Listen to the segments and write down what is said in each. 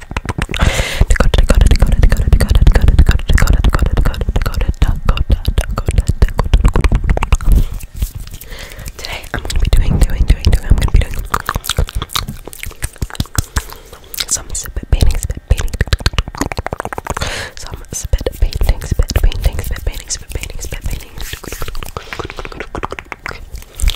Dakota, Dakota, Dakota, Dakota, Dakota, Dakota, Dakota, Dakota, Dakota, Dakota, Dakota, Dakota, Dakota, Dakota. Today I'm gonna be doing, doing, doing, doing. I'm gonna be doing some spit painting, spit painting, some spit painting, spit painting, spit painting, spit painting, spit painting.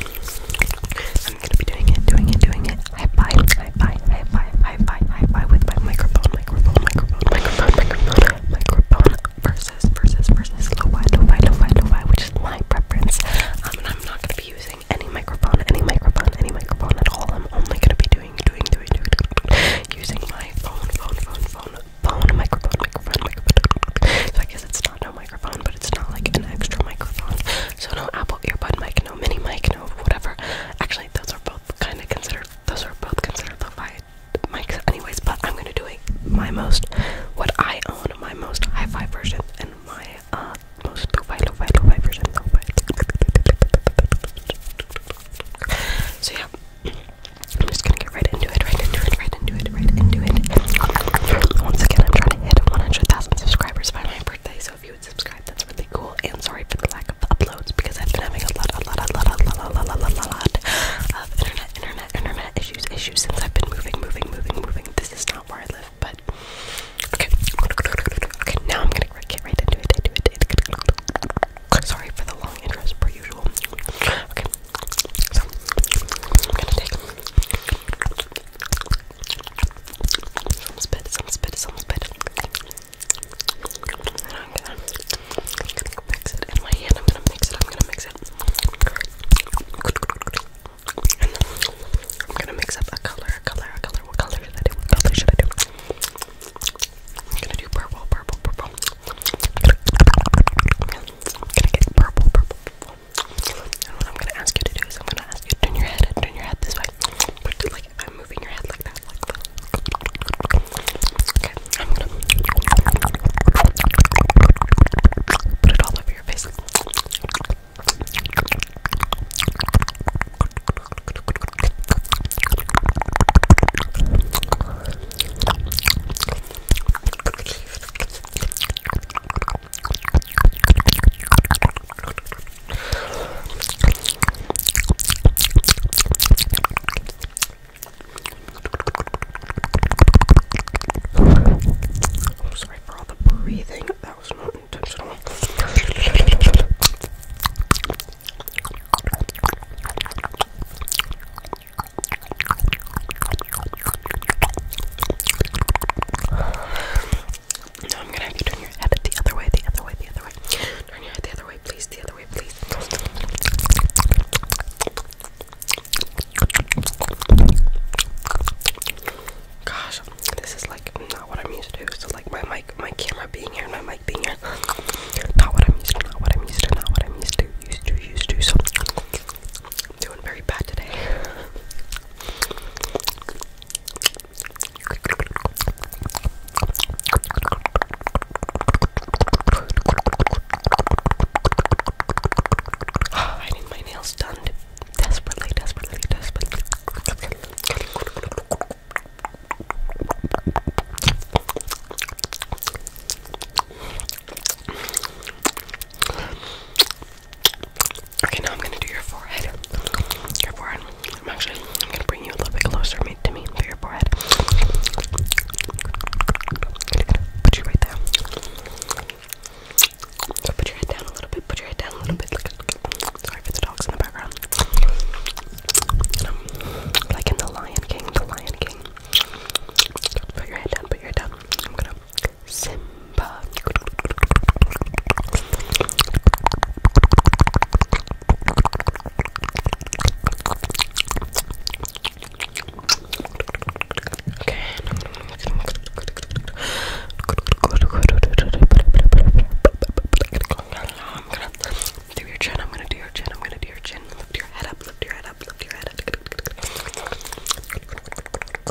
I'm gonna be doing it, doing it, doing it. High five, high five, high five, high five, high five with my microphone, microphone, microphone, microphone, microphone, microphone versus, versus, versus lo-fi, lo-fi, lo-fi, lo-fi, which is my preference. Um, and I'm not gonna be using any microphone, any microphone, any microphone at all. I'm only gonna be doing, doing, doing, doing, doing using my phone, phone, phone, phone, phone, microphone, microphone, microphone. So I guess it's not no microphone, but it's not like an extra microphone. So no Apple earbud mic, mini mic, no whatever. Actually, those are both kind of considered. Those are both considered the five mics, anyways. But I'm gonna do a my most, what I own, my most hi-fi version, and my uh most lo-fi, lo-fi, lo-fi version. Lo so yeah, I'm just gonna get right into it, right into it, right into it, right into it. Once again, I'm trying to hit 100,000 subscribers by my birthday, so so if you would subscribe, that's really cool. And sorry for the lack of uploads because I've been having a lot, a lot, a lot, a lot, a lot, a lot, a lot of internet, internet, internet issues, issues since I've been moving, moving, moving, moving. This is not where I live, but okay. Okay, now I'm gonna get right into it. Into it, into it. Sorry for the long intros per usual. Okay, so I'm gonna take. Some spit, some spit, some spit. And I'm gonna, I'm gonna mix it in my hand. I'm gonna mix it. I'm gonna mix it. And I'm gonna mix up a color, a color, a color. What color should I do? What color should I do? I'm gonna do purple, purple, purple. I'm gonna get purple, purple, purple. And what I'm gonna ask you to do is I'm gonna ask you to turn your head, turn your head this way. Like if I'm moving your head like that, like that. Okay, I'm gonna put it all over your face. I'm sorry for all the breathing, that was not intentional. No, I'm gonna have to turn your head the other way, the other way, the other way. Turn your head the other way, please, the other way, please. Gosh, this is like not what I'm used to. So like my mic, my camera being here, my mic being here. Not what I'm used to, not what I'm used to, not what I'm used to, used to, used to. So doing very bad today. I need my nails done desperately, desperately, desperately. Okay, now I'm gonna do your forehead. Your forehead. I'm actually I'm gonna bring you a little bit closer to me To for your forehead. Put you right there. put your head down a little bit. Put your head down a little bit. Sorry for the dogs in the background. And i like in the Lion King. The Lion King. Put your head down. Put your head down. I'm gonna Simba. Okay. do your chin. I'm gonna do your chin. I'm gonna do your chin. Lift your head up. Lift your head up. Lift your head up.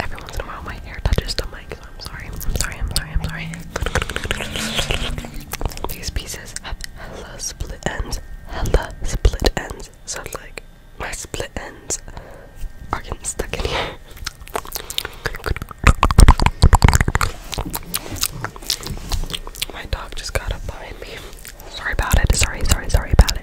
Every once in a while, my hair touches the mic, so I'm sorry. I'm sorry. I'm sorry. I'm sorry. These pieces have hella split ends. Hella split ends. So like my split ends are getting stuck in here. My dog just got up behind me. Sorry about it. Sorry, sorry, sorry about it.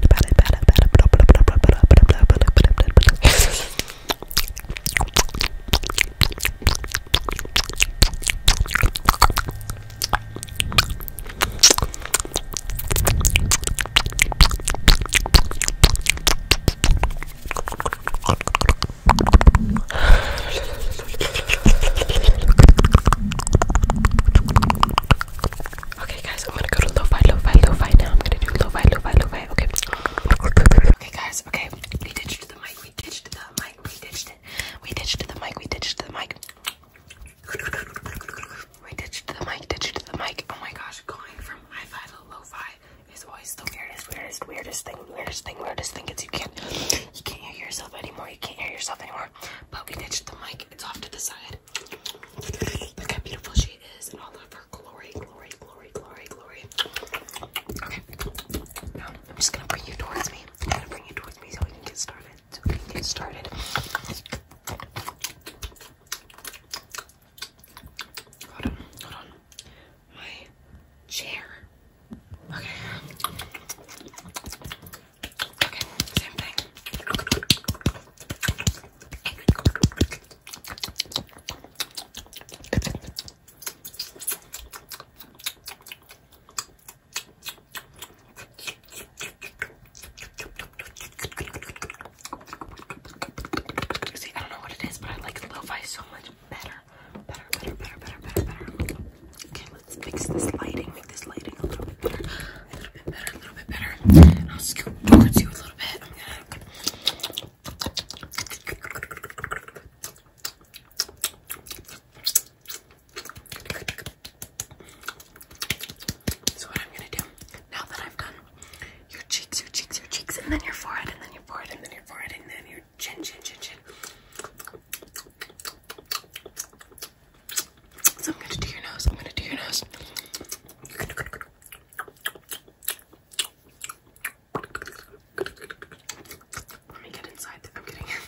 Okay, guys, I'm gonna go to lo-fi, lo-fi, lo-fi now. I'm gonna do lo-fi, lo-fi, lo-fi. Okay. Okay, guys. Okay, we ditched the mic. We ditched the mic. We ditched it. We ditched the mic. We ditched the mic. We ditched the mic. Ditched the mic. Oh my gosh, going from hi-fi to lo-fi is always the weirdest, weirdest, weirdest thing. Weirdest thing. Weirdest thing. It's you can't, you can't hear yourself anymore. You can't hear yourself anymore. Poking we ditched the mic, it's off to the side. Look how beautiful she is in all of her glory, glory, glory, glory, glory. Okay, now I'm just gonna bring you towards me. i to bring you towards me so we can get started. So we can get started. Hold on, hold on. My chair. Okay. Okay, same thing. See, I don't know what it is, but I like lo-fi so much better. Better, better, better, better, better, better. Okay, let's fix this lighting, make this lighting a little bit better, a little bit better, a little bit better. I'll scoot towards you a little bit. so what I'm gonna do now that I've done your cheeks, your cheeks, your cheeks, and then your forehead, and then your forehead, and then your forehead, and then your chin, chin, chin, chin. So I'm gonna do your nose. I'm gonna do your nose. Let me get inside. I'm getting in.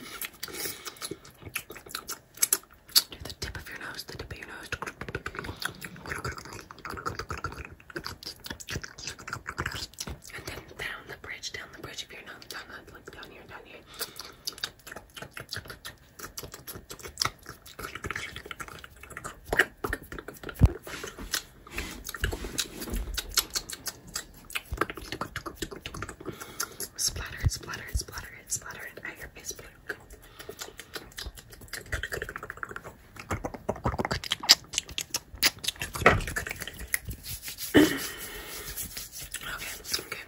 the tip of your nose. The tip of your nose. And then down the bridge, down the bridge of your nose, down here, down here. Splatter it, splatter it, splatter it, splatter it at your face, please. okay, okay,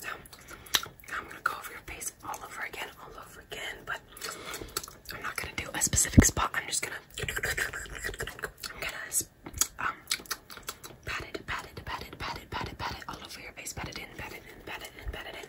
So I'm gonna go over your face all over again, all over again, but I'm not gonna do a specific spot. I'm just gonna I'm gonna um pat it, pat it, pat it, pat it, pat it, pat it all over your face, pat it in, pat it in, pat it in, pat it in.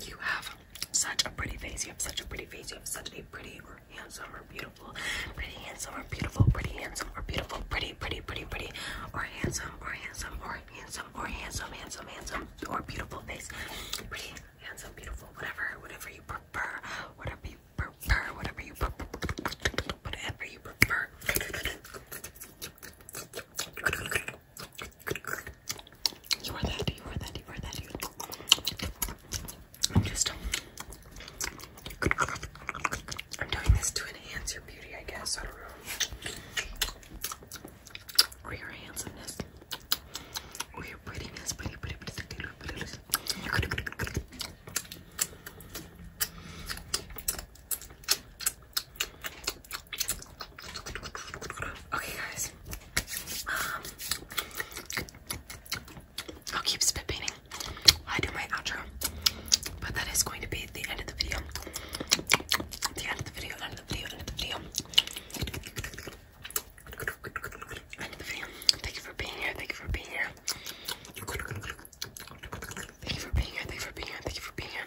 You have such a pretty face. You have such a pretty face. You have such a pretty or handsome or beautiful. Pretty handsome or beautiful. Pretty handsome or beautiful. Pretty, pretty, pretty, pretty. Or handsome or handsome or handsome or handsome, handsome, handsome or beautiful face. Pretty, handsome, beautiful, whatever, whatever you prefer. Whatever you prefer. Whatever you prefer. Whatever you prefer. You are that, you are that, you are that, you I'm just um, I'm doing this to enhance your beauty, I guess. I don't know. Or your handsomeness. Or your prettiness, pretty, pretty, pretty, pretty, pretty, pretty, pretty. Okay, guys. Um, I'll keep spit painting I do my outro, but that is going to be the end of the video. The end of the video, end of the video, end of the video. End of the video. Thank you for being here. Thank you for being here. Thank you for being here. Thank you for being here. Thank you for being here.